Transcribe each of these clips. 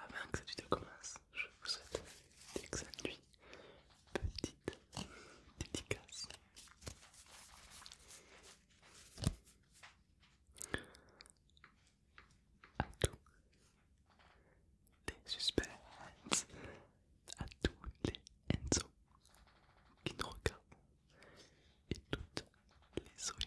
Avant que cette vidéo commence, je vous souhaite une excellente Petite dédicace. À tous les suspects, à tous les Enzo qui nous regardent et toutes les Oui.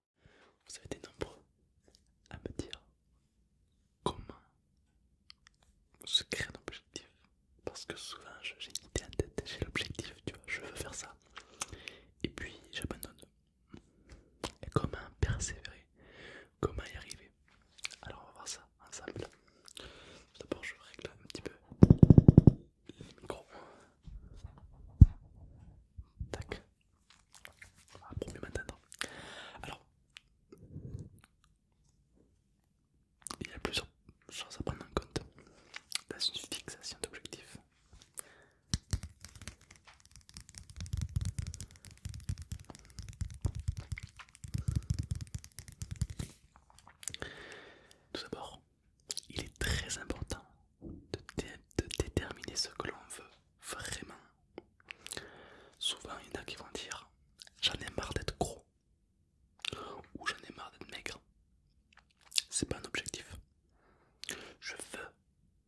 Vous avez été nombreux à me dire comment se créer un objectif. Parce que souvent j'ai une idée en tête, j'ai l'objectif, tu vois, je veux faire ça. Et puis j'abandonne. comment persévérer Comment y arriver Alors on va voir ça ensemble. d'abord je règle un petit peu le micro. Tac. pour ah, mieux Alors, il y a plusieurs choses à prendre en compte dans une fixation d'objectif Tout d'abord, il est très important de, déterminer ce que l'on veut vraiment. Souvent, il y en a qui vont dire J'en ai marre d'être gros ou j'en ai marre d'être maigre. C'est pas un objectif. Je veux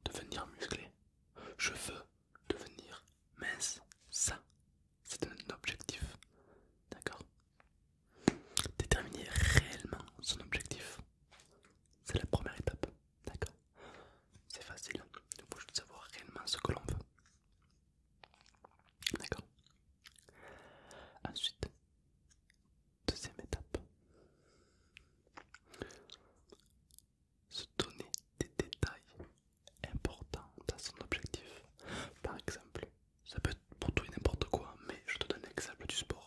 devenir musclé. Je veux devenir mince. Ça, c'est un objectif. D'accord Déterminer réellement son objectif, c'est la première étape, d'accord C'est facile, il faut juste savoir réellement ce que l'on veut. D'accord Ensuite, deuxième étape, se donner des détails importants à son objectif. Par exemple, ça peut être pour tout et n'importe quoi, mais je te donne l'exemple du sport.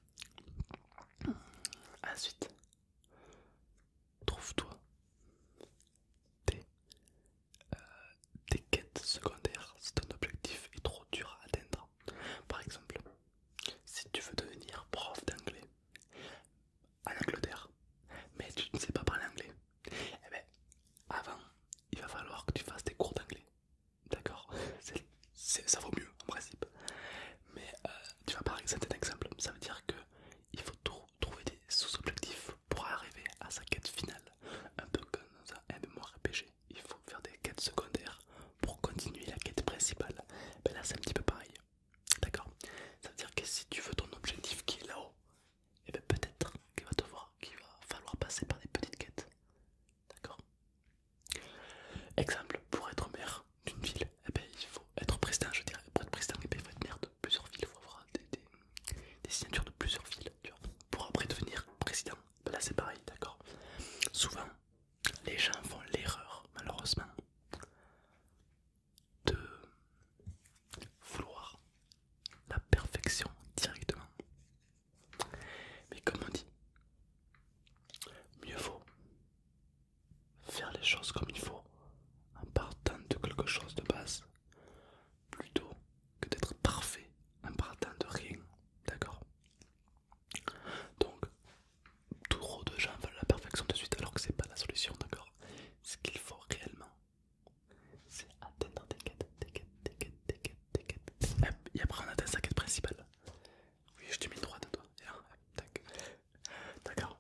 Ensuite, trouve-toi euh, des, quêtes secondaires si ton objectif est trop dur à atteindre. Par exemple, si tu veux devenir prof d'anglais en Angleterre, mais tu ne sais pas parler anglais, eh bien, avant, il va falloir que tu fasses des cours d'anglais. D'accord ça vaut mieux en principe. Mais euh, tu vas par exemple, un exemple, ça veut dire que il faut trouver des sous-objectifs pour arriver à sa quête finale. Un peu comme dans un MMORPG, il faut faire des quêtes secondaires pour continuer la quête principale. Ben là c'est un petit peu pareil. D'accord Ça veut dire que si tu veux ton objectif qui est là-haut, et eh bien peut-être qu'il va te voir qu'il va falloir passer par des petites quêtes. D'accord Exemple, pour être maire d'une ville, eh ben, il faut être président, je dirais. Pour être président, eh il faut être maire de plusieurs villes, il faut avoir des, signatures de plusieurs villes. Pour après devenir président, ben là c'est pareil, d'accord Souvent, les gens font l'erreur, malheureusement, de vouloir la perfection directement. Mais comme on dit, mieux vaut faire les choses comme il faut en partant de quelque chose de base plutôt que d'être parfait en partant de rien, d'accord Donc, trop de gens veulent la perfection de suite alors que c'est pas la solution, d'accord Ce qu'il faut réellement, c'est atteindre des quêtes, des quêtes, des quêtes, des quêtes, des quêtes, sa quête principale. Oui, je t'ai mis droit droite toi. D'accord.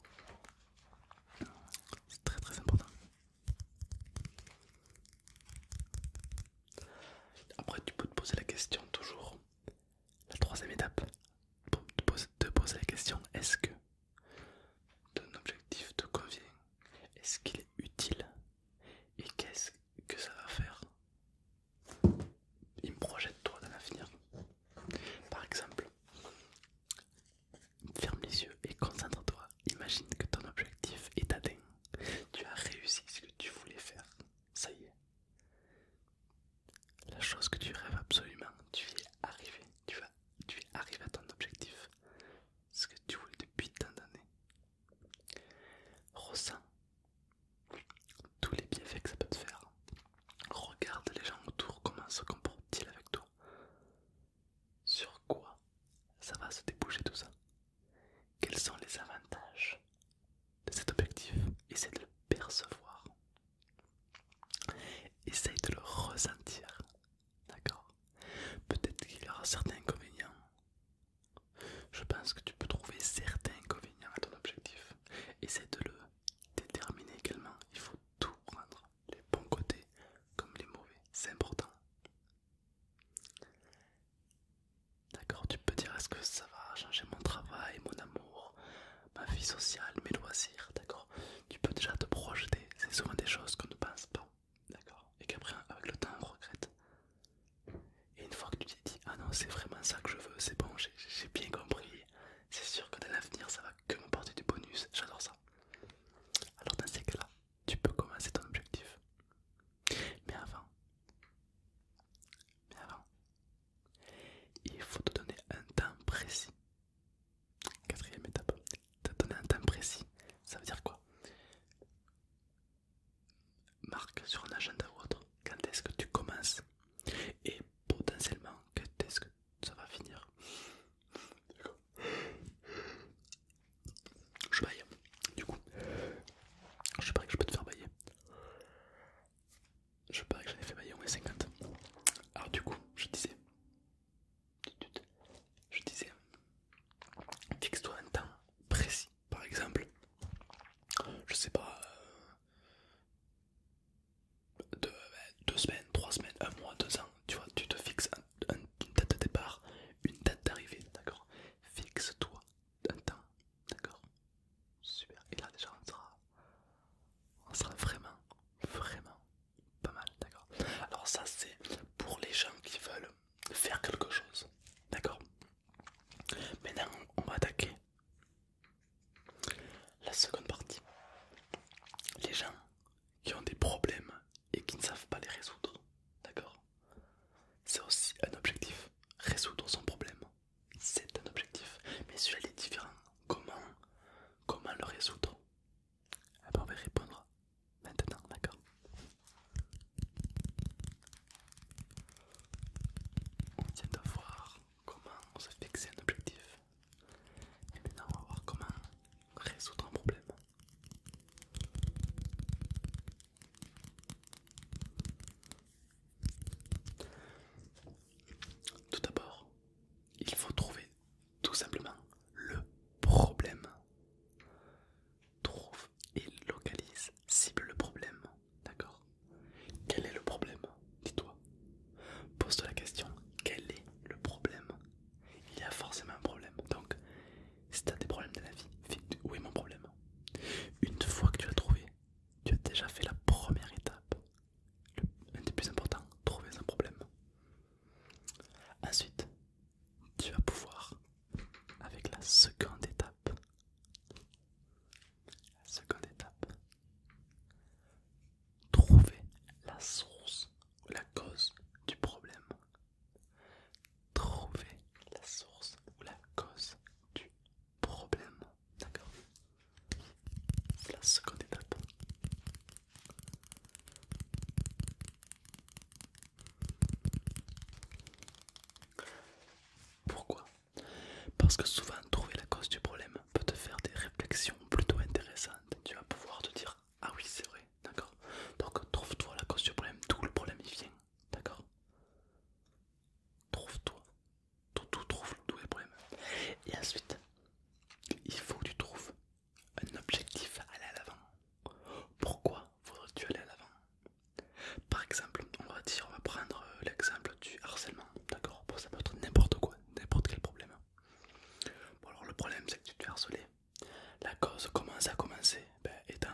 C'est très très important. Après, tu peux te poser la question toujours. La troisième étape, de te poser la question est-ce que ton objectif te convient Est-ce qu'il est utile Et qu'est-ce que ça va faire il me projette toi dans l'avenir. Par exemple, ferme les yeux et concentre-toi. Imagine que ton objectif est atteint. Tu as réussi ce que tu voulais faire. Ça y est. La chose que tu rêves absolument, tu y es arrivé. Tu, vas, tu es arrivé à ton objectif. Ce que tu voulais depuis tant d'années. Ressens tous les bienfaits que ça peut te faire. Regarde les gens autour, comment se comportent-ils avec toi. Sur quoi ça va se déboucher tout ça. Quels sont les avantages de cet objectif Essaye de le percevoir. Essaye de le ressentir. D'accord Peut-être qu'il y aura certains inconvénients. Je pense que tu peux trouver certains inconvénients à ton objectif. c'est de le déterminer également. Il faut tout prendre, les bons côtés comme les mauvais. C'est important. D'accord, tu peux dire est-ce que ça va changer mon travail, mon amour, ma vie sociale, mes loisirs, d'accord Tu peux déjà te projeter, c'est souvent des choses qu'on ne pense pas, d'accord Et qu'après, avec le temps, on regrette. Et une fois que tu t'es dit, ah non, c'est vraiment ça que je veux, c'est bon, j'ai bien compris, c'est sûr que dans l'avenir ça va que m'apporter du bonus, j'adore ça. Alors dans ces cas-là, tu peux commencer ton objectif. Mais avant, mais avant, il faut te donner un temps précis. Quatrième étape, te donner un temps précis, ça veut dire quoi marque sur un agenda ou autre quand est-ce que tu commences et potentiellement quand est-ce que ça va finir. Je baille, du coup. Je parie que je peux te faire bailler. Je parie que j'en ai fait bailler au moins 50. Alors, du coup, je disais. Je disais. Fixe-toi un temps précis par exemple, je sais pas, euh, deux, semaines, trois semaines, un mois, deux ans, tu vois, tu te fixes une date de départ, une date d'arrivée, d'accord Fixe-toi un temps, d'accord Super, et là déjà on sera, on sera vraiment, vraiment pas mal, d'accord Alors, ça c'est pour les gens qui veulent faire quelque chose, d'accord Maintenant, on va attaquer la seconde partie. Les gens qui ont des problèmes et qui ne savent pas les résoudre. D'accord C'est aussi un objectif. Résoudre son problème. C'est un objectif. Mais celui-là est différent. Comment, comment le résoudre eh ben, On va répondre maintenant, d'accord on vient de voir comment se fixer un objectif. Et maintenant on va voir comment résoudre un problème. Tout d'abord, il faut trouver tout simplement le problème. Il localise, cible le problème, d'accord Quel est le problème Dis-toi. Pose-toi la question, quel est le problème Il y a forcément un problème. Donc, si tu des problèmes de la vie, où est mon problème Une fois que tu as trouvé, tu as déjà fait la première étape. un des plus importants, trouver un problème. Ensuite, tu vas pouvoir, avec la seconde étape, seconde étape. Trouver la source ou la cause du problème. Trouver la source ou la cause du problème. D'accord la seconde étape. Pourquoi Parce que souvent trouver la cause du problème peut te faire des réflexions plutôt intéressantes. Tu vas pouvoir te dire ah oui c'est vrai, d'accord. Donc trouve-toi la cause du problème, d'où le problème il vient, d'accord. Trouve-toi, tout, tout trouve d'où le problème. Et ensuite, il faut que tu trouves un objectif à aller à l'avant. Pourquoi faudrais tu aller à l'avant par exemple, on va dire, on va prendre euh, l'exemple du harcèlement, d'accord Pour Ça peut être n'importe quoi, n'importe quel problème. Bon, alors le problème, c'est que tu te fais La cause, commence à commencer. ben, Étant,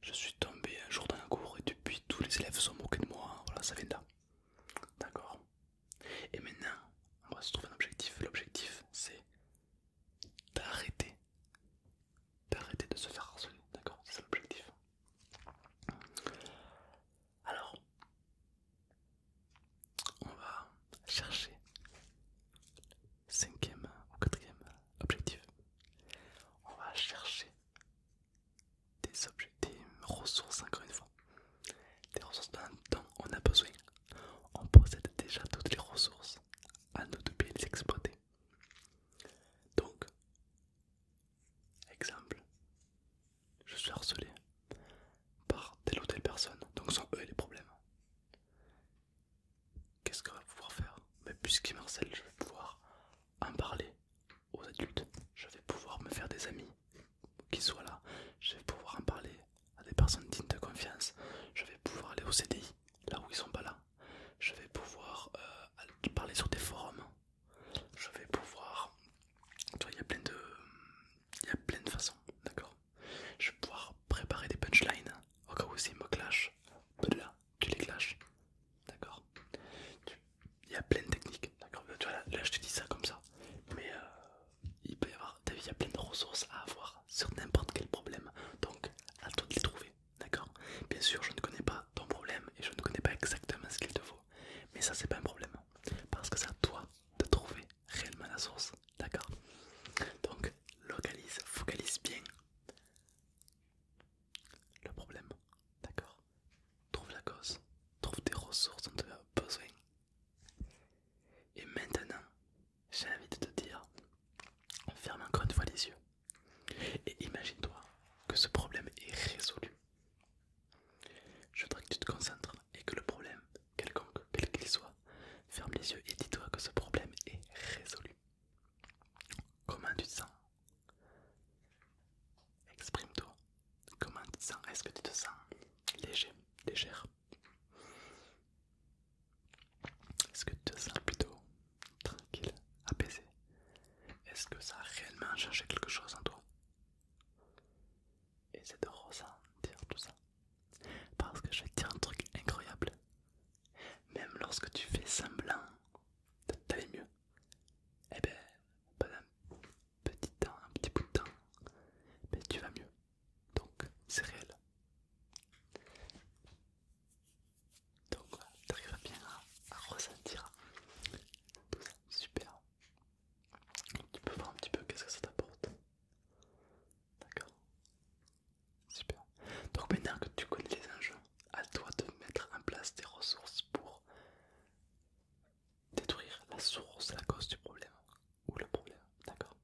je suis tombé un jour dans un cours et depuis, tous les élèves sont moqués de moi. Voilà, ça vient de là. D'accord Et maintenant, on va se trouver un objectif. L'objectif, c'est d'arrêter d'arrêter de se faire harceler, d'accord C'est l'objectif. Alors, on va chercher cinquième ou quatrième objectif. On va chercher des, des ressources encore une fois. Des ressources dont on a besoin. On possède déjà toutes les ressources. À nous de bien les exploiter. Donc, exemple, je suis harcelé par telle ou telle personne, donc sont eux les problèmes. Qu'est-ce qu'on va pouvoir faire Mais puisqu'ils harcèlent, je vais pouvoir en parler aux adultes, je vais pouvoir me faire des amis qui soient là, je vais pouvoir en parler à des personnes dignes de confiance, je vais pouvoir aller au CDI, là où ils sont pas là, je vais pouvoir euh, parler sur des forums, je vais pouvoir... Il y a plein de... Il y a plein de façons, d'accord Je vais pouvoir préparer des punchlines, au cas où s'ils me clashent, tu les clashes, d'accord Il y a plein de techniques, d'accord là, je te dis ça comme ça, mais euh, il peut y avoir, il y a plein de ressources à avoir sur n'importe quel problème, donc à toi de les trouver, D'accord Bien sûr, je ne connais pas ton problème et je ne connais pas exactement ce qu'il te faut. Mais ça, c'est pas un problème. Parce que c'est à toi de trouver réellement la source. D'accord Donc, localise, focalise bien le problème. D'accord Trouve la cause. Trouve des ressources dont tu as besoin. Et maintenant, j'ai envie de te dire, ferme encore une fois les yeux. Et imagine-toi que ce problème est résolu. Je voudrais que tu te concentres et que le problème, quelconque, quel qu'il soit, ferme les yeux et dis-toi que ce problème est résolu. Comment tu te sens Exprime-toi. Comment tu te sens Est-ce que tu te sens léger, est-ce que tu te sens plutôt tranquille, apaisé Est-ce que ça a réellement changé quelque chose en toi Et c'est de ressentir tout ça. Parce que je vais te dire un truc incroyable. Même lorsque tu fais semblant de t'aller mieux, eh ben, pendant un petit temps, un petit bout de temps, mais ben, tu vas mieux. Donc, c'est réel donc voilà, tu arrives bien hein, à, ressentir tout ça, super. Tu peux voir un petit peu qu'est-ce que ça t'apporte, d'accord Super. Donc maintenant que tu connais les enjeux, à toi de mettre en place des ressources pour détruire la source, la cause du problème ou le problème, d'accord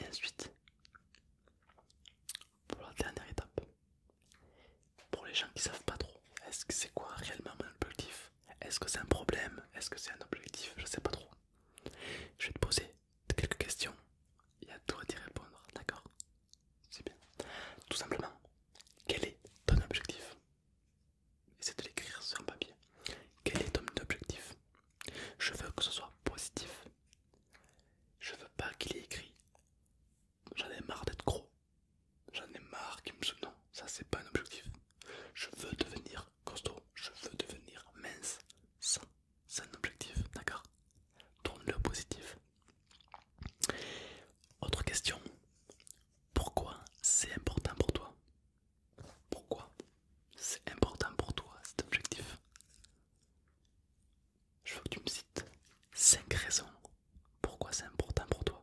Et ensuite, pour la dernière étape. Pour les gens qui savent pas trop, est-ce que c'est quoi réellement mon objectif Est-ce que c'est un problème Est-ce que c'est un objectif Je sais pas trop. Je vais te poser quelques questions et à toi d'y répondre, d'accord C'est bien. Tout simplement, quel est ton objectif C'est de l'écrire sur un papier. Quel est ton objectif Je veux que ce soit positif, je veux pas qu'il ait écrit. J'en ai marre d'être gros. J'en ai marre qu'il me se... Non, ça c'est pas un objectif. Je veux devenir costaud. Je veux devenir mince. Ça, c'est un objectif, d'accord Tourne-le positif. Autre question. Pourquoi c'est important pour toi Pourquoi c'est important pour toi cet objectif je veux que tu me cites 5 raisons pourquoi c'est important pour toi.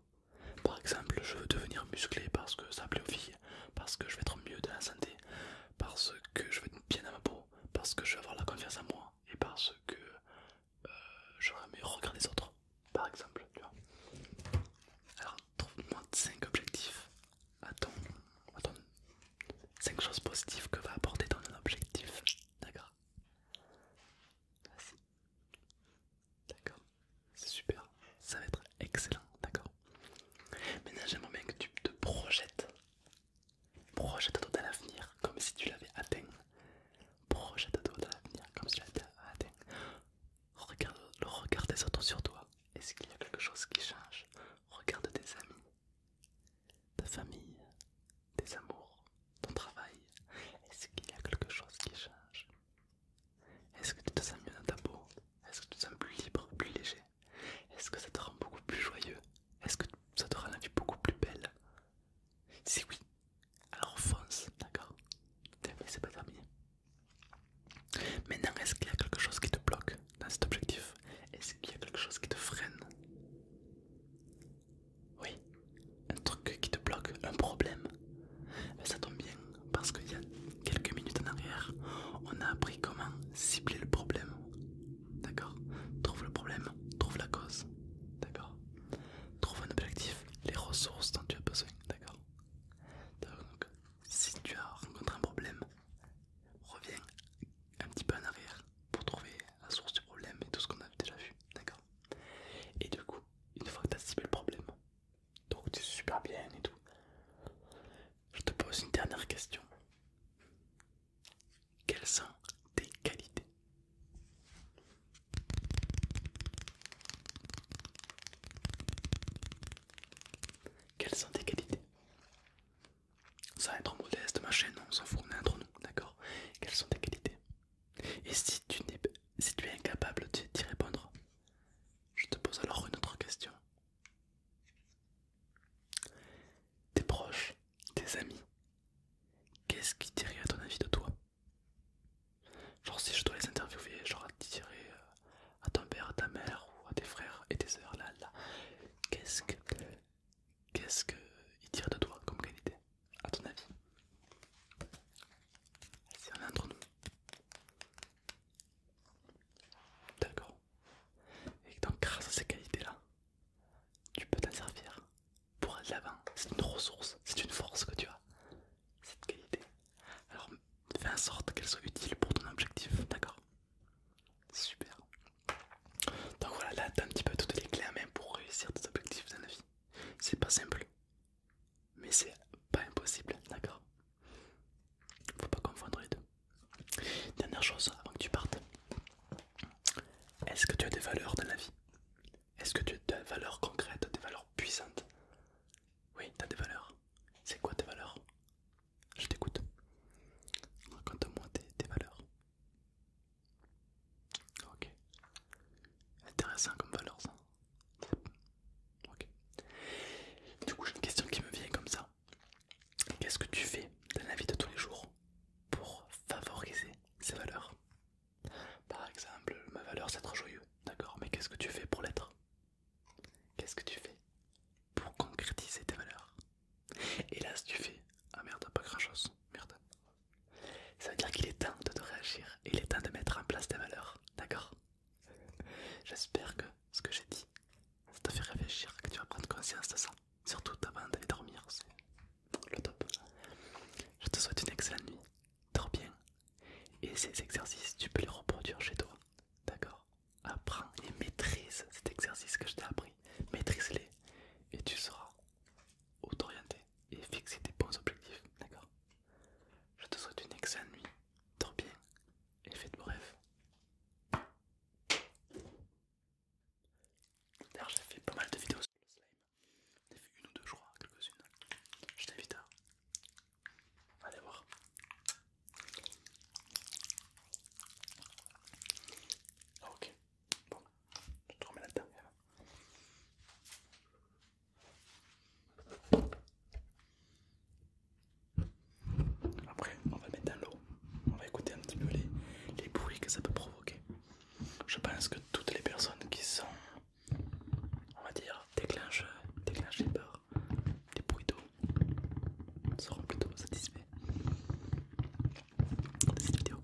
Par exemple, je veux devenir musclé parce que ça plaît aux filles, parce que je vais être mieux de la santé, parce que je vais être bien dans ma peau, parce que je vais avoir la confiance en moi et parce que euh, je un meilleur regard des autres, par exemple. Tu vois. Alors, trouve-moi 5 objectifs à ton, 5 choses positives que va apporter ton objectif. D'accord D'accord, c'est super, ça va être excellent, d'accord Maintenant j'aimerais bien que tu te projettes, projette-toi dans l'avenir comme si tu l'avais atteint, projette-toi dans l'avenir comme si tu l'avais atteint, regarde le regard des autres sur toi, est-ce qu'il y a quelque chose qui change Regarde tes amis, ta famille, tes amours, ton travail. Est-ce qu'il y a quelque chose qui change Est-ce que tu te sens mieux dans ta peau Est-ce que tu te sens plus libre, plus léger Est-ce que ça te rend beaucoup plus joyeux Est-ce que ça te rend la vie beaucoup plus belle Si oui, alors fonce, d'accord C'est pas terminé. Maintenant, est-ce qu'il y a quelque chose qui te bloque dans cet objectif, est-ce qu'il y a quelque chose qui te freine Oui, un truc qui te bloque, un problème. Mais ben, ça tombe bien parce qu'il y a quelques minutes en arrière, on a appris comment cibler le problème. D'accord Trouve le problème, trouve la cause. D'accord Trouve un objectif, les ressources dont tu as besoin. D'accord donc, si tu as rencontré un problème, reviens un petit peu en arrière pour trouver la source du problème et tout ce qu'on a déjà vu, d'accord Et du coup, une fois que tu as ciblé le problème, donc tu es super bien et tout, je te pose une dernière question. Quelles sont tes qualités Quelles sont tes qualités sans être modeste, ma chaîne, on s'en fout, on est entre nous, d'accord Quelles sont tes qualités Et si tu, si tu es incapable d'y répondre, je te pose alors une autre question. Tes proches, tes amis, qu'est-ce qui dirait à ton avis de toi Genre si je dois les interviewer, genre à euh, à ton père, à ta mère ou à tes frères et tes sœurs, là, là, Qu'est-ce qu'il tire de toi comme qualité, à ton avis C'est un entre nous. D'accord. Et donc, grâce à ces qualités-là, tu peux t'en servir pour aller de l'avant. C'est une ressource, c'est une force que tu as, cette qualité. Alors, fais en sorte qu'elle soit utile pour ton objectif, d'accord Super. Donc voilà, là t'as un petit peu toutes les clés en main pour réussir tes objectifs dans la vie. C'est pas simple, mais c'est pas impossible, d'accord Faut pas confondre les deux. Dernière chose avant que tu partes. Est-ce que tu as des valeurs dans la vie Est-ce que tu as des valeurs concrètes, des valeurs puissantes Oui, tu as des valeurs. C'est quoi tes valeurs je t'écoute. Raconte-moi tes, valeurs. Ok. Intéressant comme valeur ça. Ok. Du coup j'ai une question qui me vient comme ça. Qu'est-ce que tu fais dans la vie de tous les jours pour favoriser ces valeurs Par exemple, ma valeur c'est être joyeux, d'accord, mais qu'est-ce que tu fais pour l'être Qu'est-ce que tu fais pour concrétiser tes valeurs. hélas tu fais Ah merde, pas grand chose, merde. Ça veut dire qu'il est temps de te réagir et il est temps de mettre en place tes valeurs, d'accord J'espère que ce que j'ai dit, ça t'a fait réfléchir, que tu vas prendre conscience de ça. Surtout, avant d'aller dormir, c'est le top. Je te souhaite une excellente nuit, dors bien. Et ces exercices, tu peux les reproduire chez toi, d'accord apprends et maîtrise cet exercice que je t'ai appris. Maîtrise-les et tu seras où t'orienter et fixer tes bons objectifs. D'accord Je te souhaite une excellente nuit. Dors bien et fais de beaux rêves. D'ailleurs, j'ai fait pas mal de vidéos sur le slime. J'ai fait une ou deux, je crois, quelques-unes. Je t'invite à aller voir. Ah, ok, bon, je te remets là-dedans. Après, on va mettre dans l'eau, on va écouter un petit peu les, les bruits que ça peut provoquer. Je pense que toutes les personnes qui sont, on va dire, déclencheurs, déclencheurs par des bruits d'eau, seront plutôt satisfaits de cette vidéo.